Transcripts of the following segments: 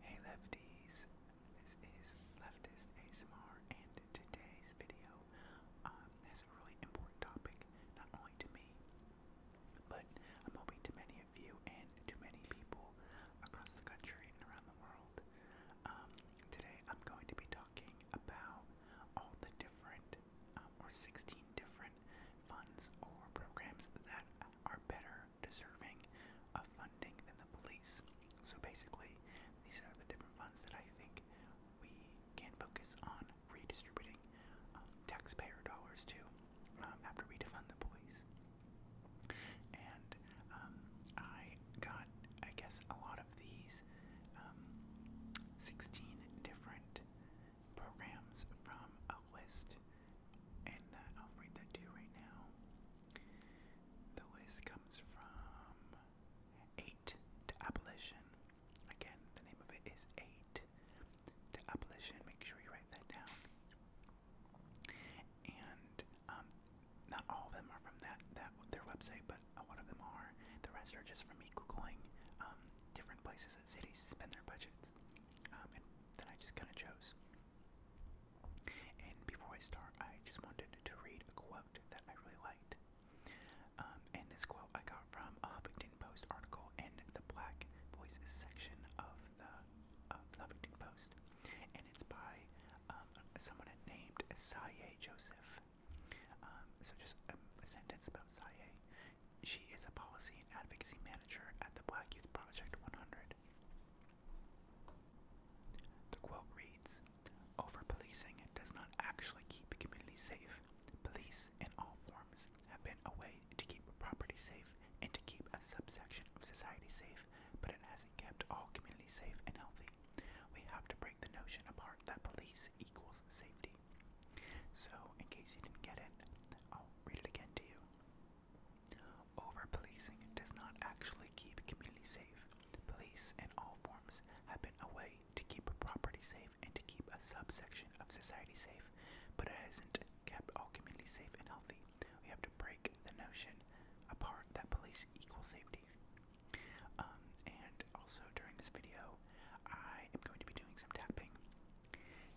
Hey lefties, this is Leftist ASMR and today's video um, has a really important topic, not only to me, but I'm hoping to many of you and to many people across the country and around the world. Um, today I'm going to be talking about all the different different um, or 16 different funds or programs that are better deserving of funding than the police. So basically, these are the different funds that I think we can focus on redistributing um, taxpayer dollars to um, after we defund the police. And um, I got, I guess, a lot of these um, 16 different programs from a list, and that I'll read that to you right now. The list comes from 8 to Abolition. Again, the name of it is 8 to Abolition. Make sure you write that down. And um, not all of them are from that, that their website, but a lot of them are. The rest are just from me Googling um, different places and cities spend their budgets. Um, and then I just kind of chose. And before I start, I just wanted to read a quote that I really liked. Um, and this quote I got from a Huffington Post article in the Black Voices section of the, Huffington Post. And it's by um, someone named Saye Joseph. Um, so just a, sentence about Saye. She is a policy and advocacy manager at the Black Youth Project 100. The quote reads, Over-policing does not actually keep communities safe. Police, in all forms, have been a way to keep property safe and to keep a subsection of society safe, but it hasn't kept all communities safe and healthy. We have to break the notion apart that police equals safety. So, in case you didn't get it, I'll read it again to you. Over policing does not actually keep communities safe. Police in all forms have been a way to keep a property safe and to keep a subsection of society safe, but it hasn't kept all communities safe and healthy. We have to break the notion apart that police equal safety. Um, and also during this video, I am going to be doing some tapping.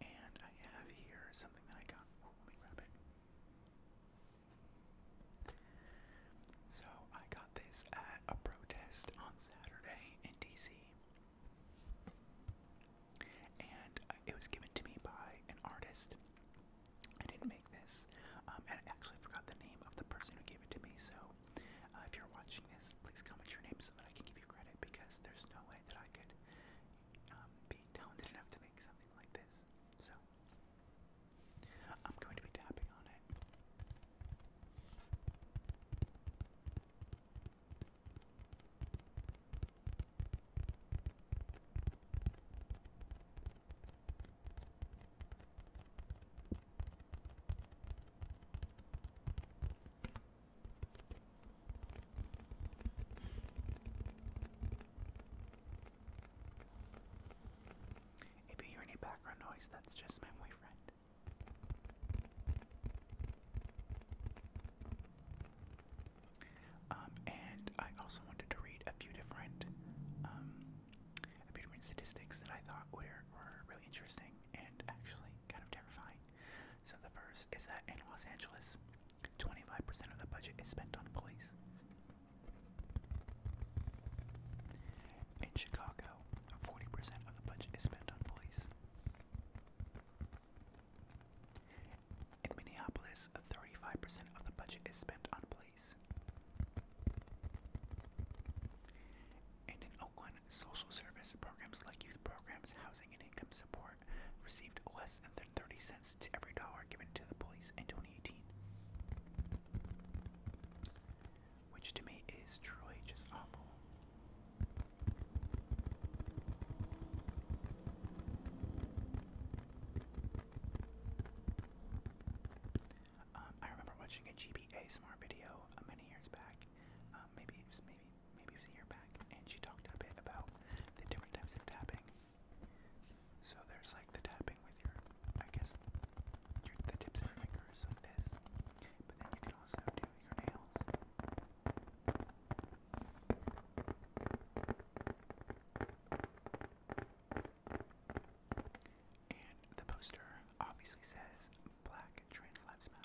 And I have here something that I got. Oh, let me grab it. So I got this at a protest on Saturday in DC. And it was given to me by an artist. I didn't make this, um, and I actually forgot the name of the person who gave it to me, so uh, if you're watching this, please comment your name so that I can give you credit because there's no way that I could um, be talented enough to make something like this. So, I'm going to be tapping on it. If you hear any background noise, that's just my boyfriend. Um, and I also wanted to read a few different, um, a few different statistics that I thought were, were really interesting and actually kind of terrifying. So the first is that in Los Angeles, 25% of the budget is spent on police. In Chicago, 40% of the budget is spent on police. In Minneapolis, 35% of the budget is spent on police. And in Oakland, social service programs like youth programs, housing, and income support received less than 30 cents to every dollar given to the police in 2018. Which to me is truly just awful. Um, I remember watching a GB smart video uh, many years back, um, maybe it was maybe maybe it was a year back, and she talked a bit about the different types of tapping. So there's like the tapping with your, I guess, your, the tips of your fingers like this, but then you can also do your nails. And the poster obviously says Black Trans Lives Matter.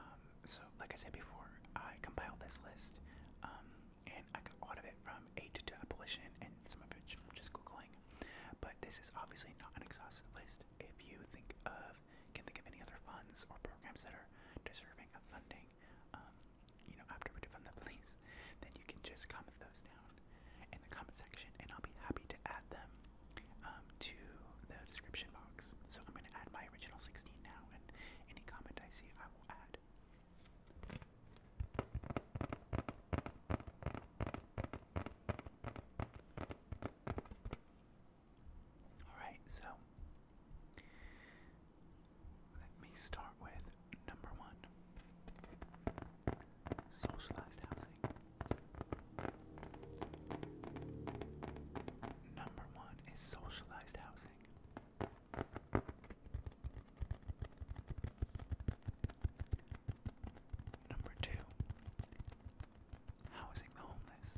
Um, so, like I said before, I compiled this list, um, and I got a lot of it from aid to abolition and some of it from just Googling. But this is obviously not an exhaustive list. If you think of, can think of any other funds or programs that are deserving of funding, um, you know, after we defund the police, then you can just comment those down in the comment section and I'll be happy to add them um, to the description box. So I'm going to add my original 16 now, and any comment I see, I will add. Alright, so let me start with number one socialized housing. Number one is socialized housing. Number two, housing the homeless.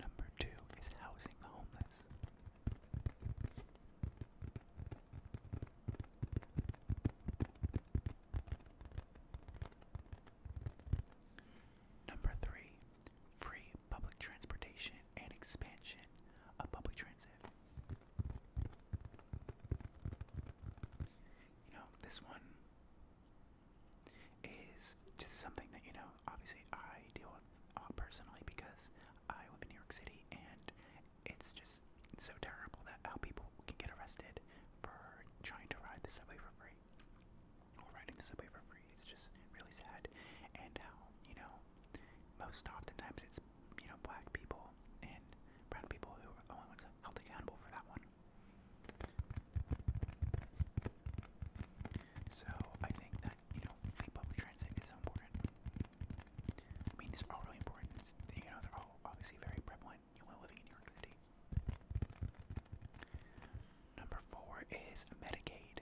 Number two is housing the homeless. Number three, free public transportation and expansion of public transit. You know, this one is just something that, you know, obviously I deal with uh, personally because I live in New York City and it's just so terrible that how people can get arrested for trying to ride the subway for free or riding the subway for free. It's just really sad, and how you know most oftentimes it's you know black people and brown people who are the only ones held accountable for that one. So I think that you know free public transit is important. I mean, these are all really important. you know, they're all obviously very prevalent. You know, living in New York City. Number four is Medicaid.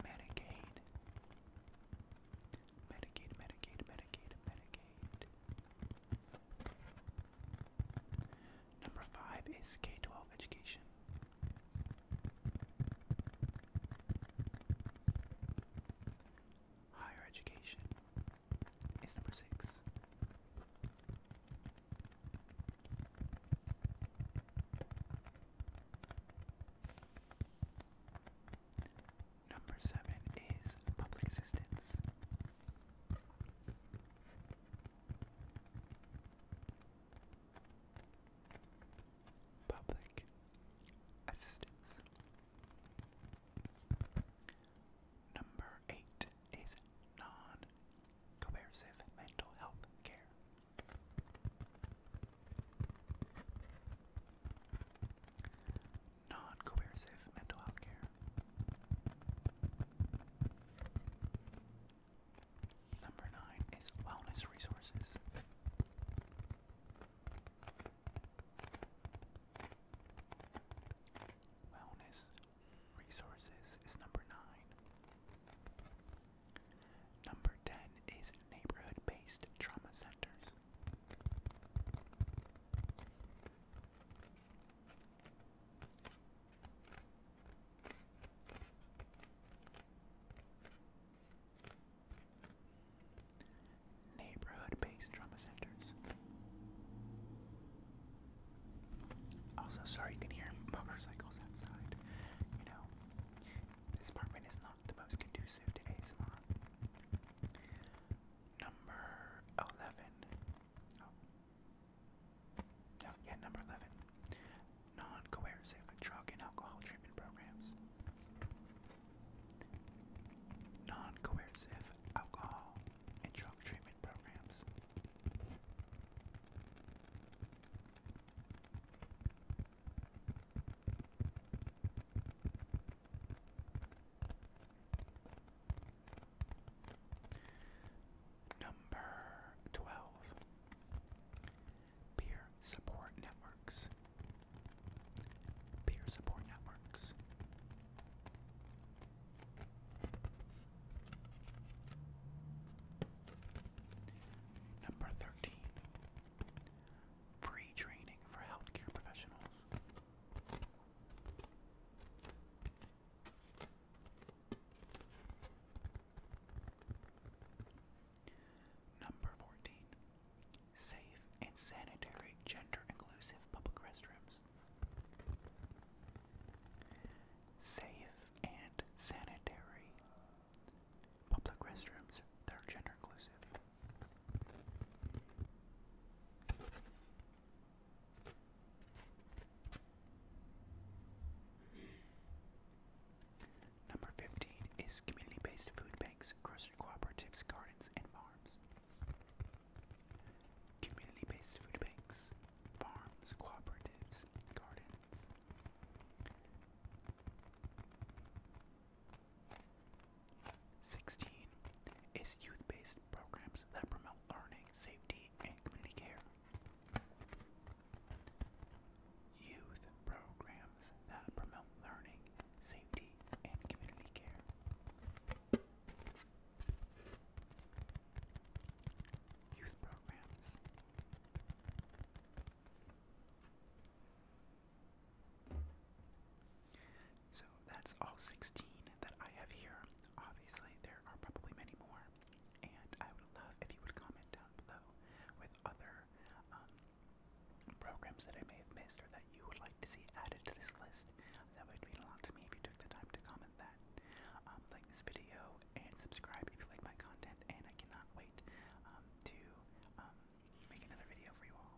Medicaid. Medicaid, Medicaid, Medicaid, Medicaid. Number five is K 12 education. Higher education is number six. Number seven is public assistance. Public assistance. Number eight is non coercive mental health care. Non coercive mental health care. Number nine is wellness resources. Wellness resources is number nine. Number 10 is neighborhood based trauma centers. Neighborhood based trauma centers. Also, sorry you can hear motorcycles outside. You know, this apartment is not the most conducive to ASMR. Number 11. No, number 11. Non-coercive drug and alcohol treatment programs. non alcohol and drug treatment programs. Number 12 Peer support networks. Peer support networks. Number 13. Free training for healthcare professionals. Number 14. Safe and sanitary gender inclusive public restrooms. Safe and sanitary public restrooms that are gender inclusive. Number 15 is community-based food banks, grocery cooperatives, gardens, and farms. Community-based food banks, farms, cooperatives, gardens. Sixteen is youth-based programs that promote learning, safety, community and community care. Youth programs that promote learning, safety, and community care. Youth programs. So that's all 16 that I have here. Obviously, there are probably many more, and I would love if you would comment down below with other um, programs that I may have missed or that you would like to see added to this list. That would mean a lot to me if you took the time to comment that. Um, like this video and subscribe if you like my content, and I cannot wait um, to make another video for you all.